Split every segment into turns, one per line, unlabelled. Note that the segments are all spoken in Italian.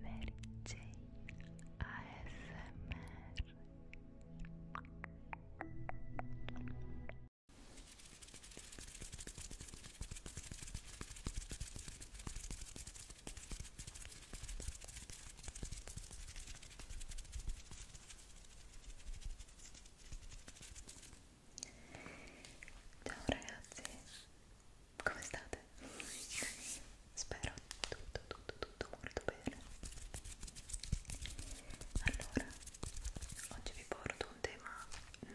Mary J ASMR Ciao ragazzi come state? Spero tutto, tutto, tutto molto bene. Allora, oggi vi porto un tema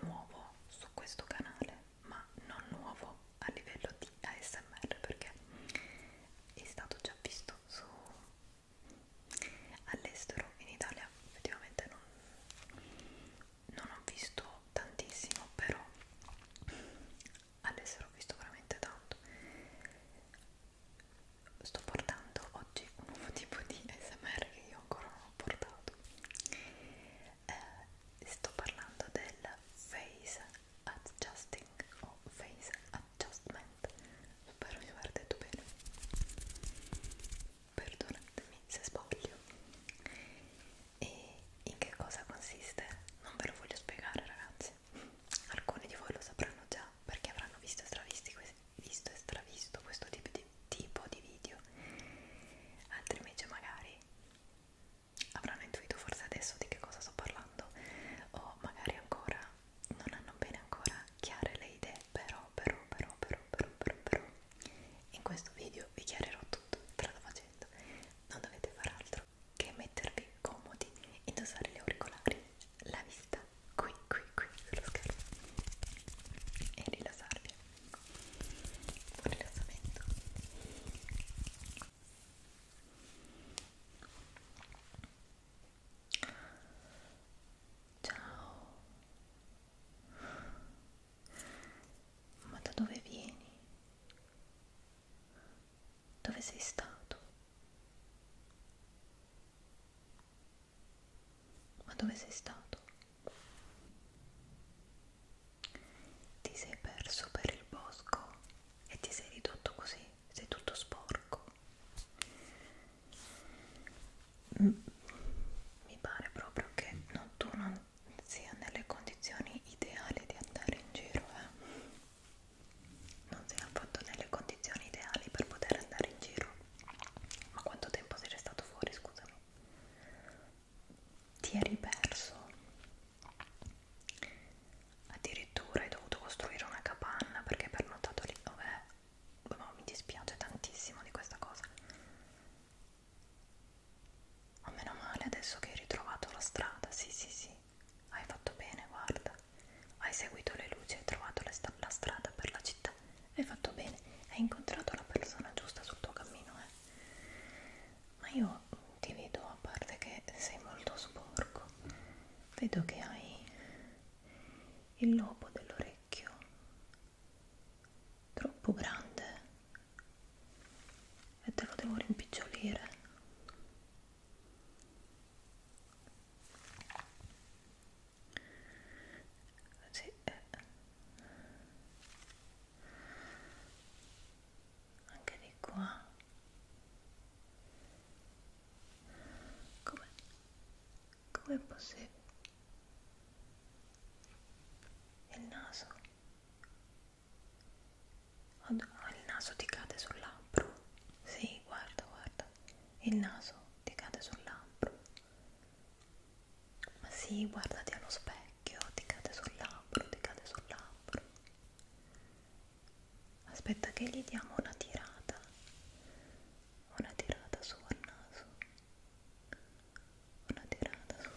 nuovo su questo canale, ma non nuovo a livello di ASMR perché è stato già visto su all'estero in Italia effettivamente non, non ho visto tantissimo però adesso l'ho visto veramente tanto sto portando oggi un nuovo tipo di smr che io ancora non ho portato eh, sto parlando del face adjusting o face adjustment spero di aver detto bene perdonatemi se sbaglio e in che cosa consiste non ve lo voglio spiegare ragazzi alcuni di voi lo sapranno già perché avranno visto e stravisto, visto e stravisto questo tipo di, tipo di video altri invece magari avranno intuito forse adesso di che cosa sto parlando o magari ancora non hanno bene ancora chiare le idee però però però però però però però, però in questo video vi chiarirò tutto strada facendo, non dovete fare altro che mettervi comodi, indossare gli auricolari, la vista qui, qui, qui sullo schermo e rilassarvi. Buon rilassamento. Ciao. Ma da dove vieni? Dove sei stato? Ma dove sei stato? Ti sei perso per il bosco e ti sei ridotto così, sei tutto sporco. Mm. Mi pare proprio che no, tu non sia nelle condizioni ideali di andare in giro eh? non sei affatto nelle condizioni ideali per poter andare in giro ma quanto tempo sei restato fuori scusami ti eri perso addirittura hai dovuto costruire una capanna perché hai pernottato lì vabbè no, mi dispiace tantissimo di questa cosa ma oh, meno male adesso che hai ritrovato la strada, sì sì sì, hai fatto bene, guarda, hai seguito le luci, hai trovato la strada per la città, hai fatto bene, hai incontrato la persona giusta sul tuo cammino, eh. Ma io ti vedo, a parte che sei molto sporco, vedo che hai il lobo dell'orecchio troppo grande e te lo devo rimpicciolire sì. Eh. anche di qua come come è possibile il naso oh, il naso ti cade sul labbro sì, guarda, guarda il naso ti cade sul labbro ma sì, guardati allo specchio ti cade sul labbro, ti cade sul labbro aspetta che gli diamo una tirata una tirata su al naso una tirata su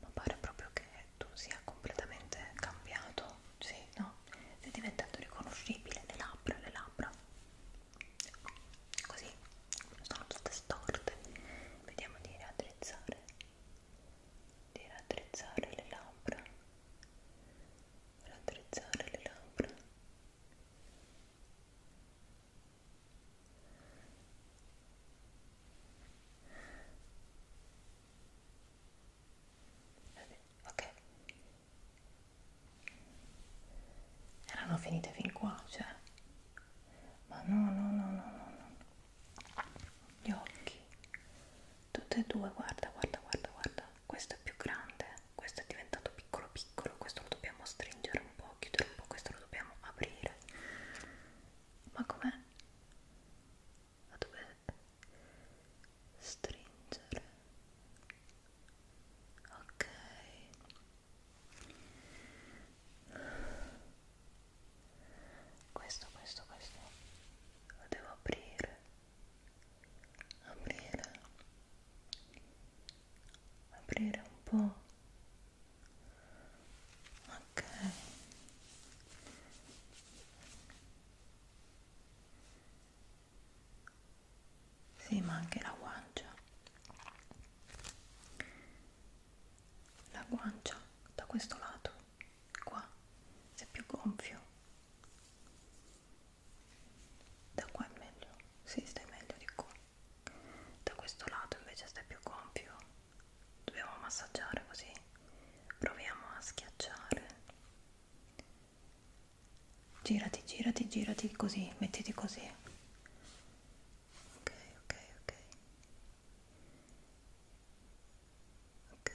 ma pare proprio che tu sia completamente cambiato, sì, no? Sei diventato riconoscibile, le labbra, le labbra così sono tutte storte vediamo di raddrizzare di raddrizzare le labbra raddrizzare le labbra ok erano finite fin qua, cioè ma no, no, no, no, no, no gli occhi tutte e due, guarda, guarda, guarda, guarda questo è più grande, eh. questo è diventato piccolo piccolo, questo lo dobbiamo stringere un po', chiudere un po', questo lo dobbiamo aprire ma com'è? la dove stringere ok questo questo questo lo devo aprire aprire aprire un po ok sì ma anche la guancia la guancia da questo lato qua se è più gonfio da qua è meglio si sì, stai meglio di qua da questo lato invece stai più gonfio dobbiamo massaggiare così proviamo a schiacciare girati girati girati così mettiti così ok ok ok ok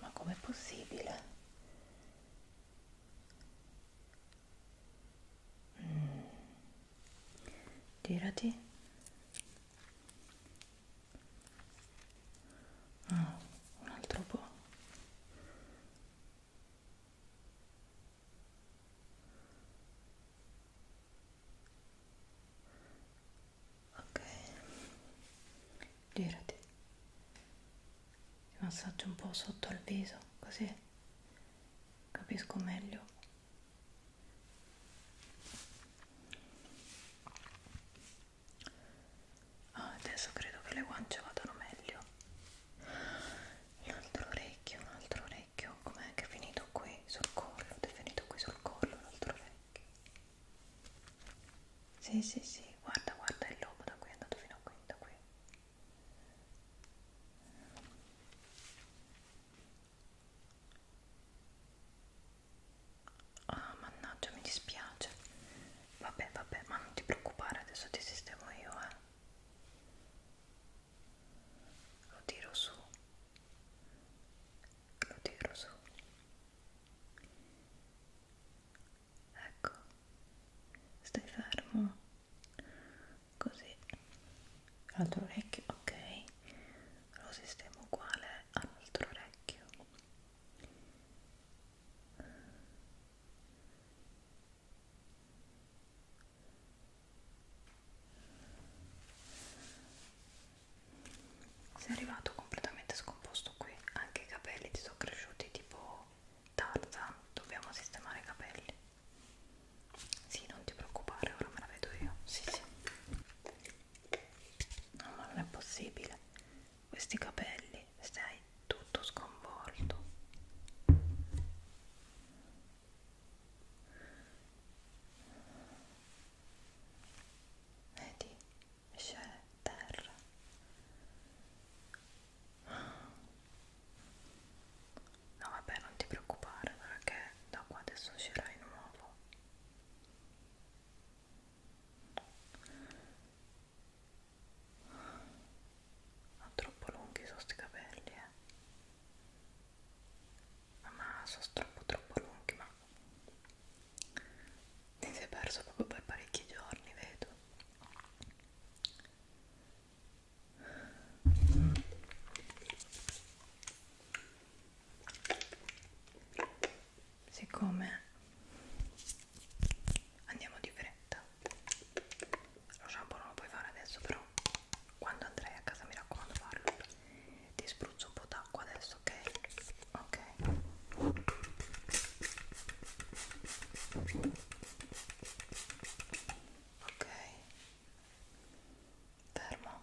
ma com'è possibile mm. girati Oh, un altro po' ok girati ti massaggio un po' sotto il viso così capisco meglio Ah, adesso credo che le guance vadano meglio. L'altro orecchio, un altro orecchio, com'è che è finito qui sul collo? È finito qui sul collo l'altro orecchio. Sì, sì, sì, guarda, guarda il lobo da qui è andato fino a qui, da qui. Ah, mannaggia, mi dispiace. Vabbè, vabbè, ma non ti preoccupare, adesso ti sistemo io, eh. Lo tiro su. Lo tiro su. Ecco. Stai fermo. Così. L'altro orecchio, ok. Lo sistemo uguale all'altro orecchio. Sei arrivato completamente scomposto qui, anche i capelli ti sono cresciuti tipo tarza, dobbiamo sistemare i capelli. Sì, non ti preoccupare, ora me la vedo io. Sì, sì. No, ma non è possibile questi capelli, sei tutto sconvolto. Vedi, c'è terra. No vabbè, non ti preoccupare perché da qua adesso uscirai nuovo. Ho troppo lunghi sono sti capelli, eh. Ma sono troppo troppo lunghi, ma ne si è perso proprio per parecchi giorni, vedo. Mm siccome andiamo di fretta lo shampoo non lo puoi fare adesso però quando andrai a casa mi raccomando farlo ti spruzzo un po' d'acqua adesso ok? ok ok fermo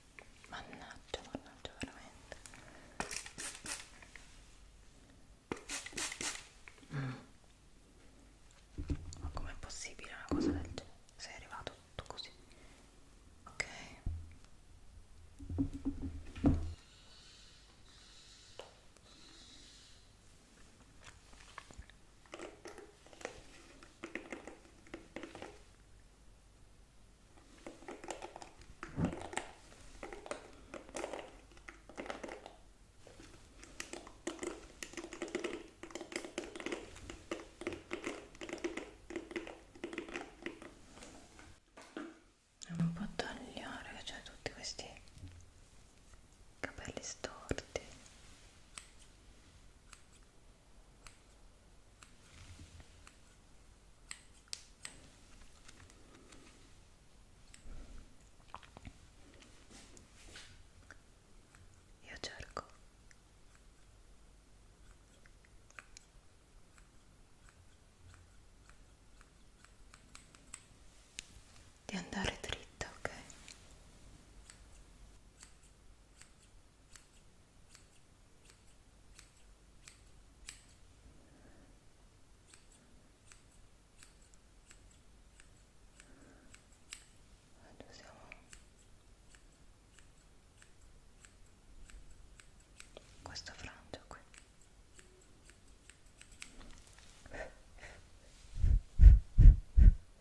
Mannaggia, mannaggia veramente. Mm. Ma com'è possibile una cosa del genere? Sei arrivato tutto così. Ok non può tagliare che c'è tutti questi capelli storti io cerco di andare dritta, ok? Oggi siamo questa frangia qui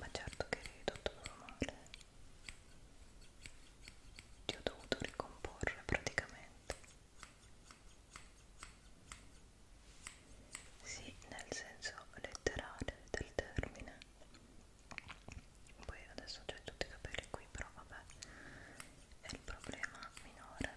ma certo che eri tutto male ti ho dovuto ricomporre praticamente sì, nel senso letterale del termine poi adesso ho tutti i capelli qui però vabbè è il problema minore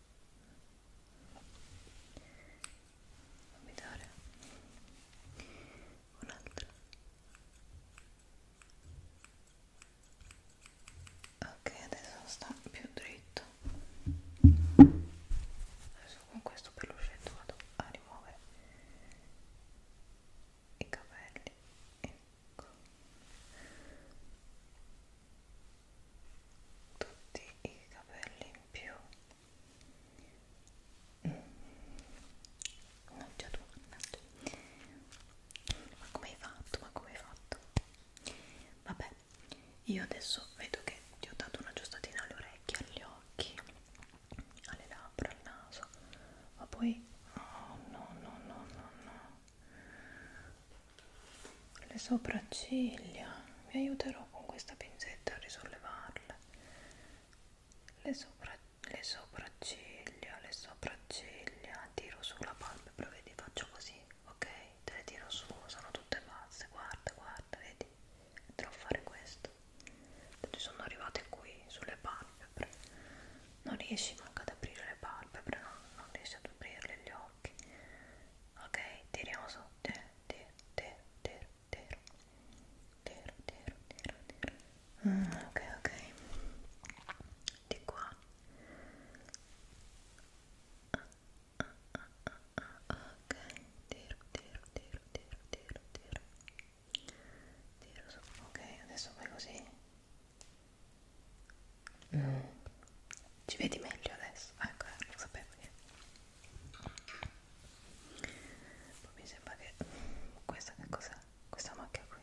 Abitare un'altra. Ok, adesso sta più dritto. Adesso con questo pelucetto vado a rimuovere i capelli. E tutti i capelli in più non c'è tu ma come hai fatto ma come hai fatto vabbè io adesso vedo che ti ho dato una giustatina alle orecchie agli occhi alle labbra al naso ma poi oh, no no no no no no le sopracciglia vi aiuterò con questa pinzetta a risollevarle le, sopra, le sopracciglia le sopracciglia tiro sulla palpebra vedi faccio così ok te le tiro su sono tutte basse guarda guarda vedi andrò a fare questo ci sono arrivate qui sulle palpebre non riesci manco ad aprire le palpebre, no? non riesci ad aprirle gli occhi. Ok, tiriamo su. Tiro, tiro, tiro, tiro, tiro, tiro, tiro, tiro, tiro. Mm, ok, ok. Di qua. Ah, ah, ah, ah, ok, tiro, tiro, tiro, tiro, tiro, tiro. Tiro su. Ok, adesso fai così. Mm. Ci vedi meglio adesso? Ah, ecco, eh, lo sapevo che... Poi mi sembra che... Questa che cos'è? Questa macchia qui.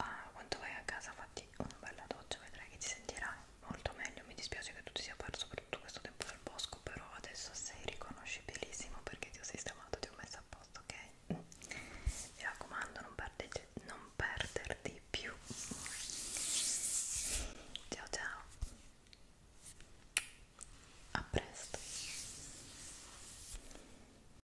ah, quando vai a casa fatti una bella doccia vedrai che ti sentirai molto meglio mi dispiace che tu ti sia perso per tutto questo tempo del bosco però adesso sei riconoscibilissimo perché ti ho sistemato ti ho messo a posto ok? Mm. mi raccomando non, perdete, non perderti più ciao ciao a presto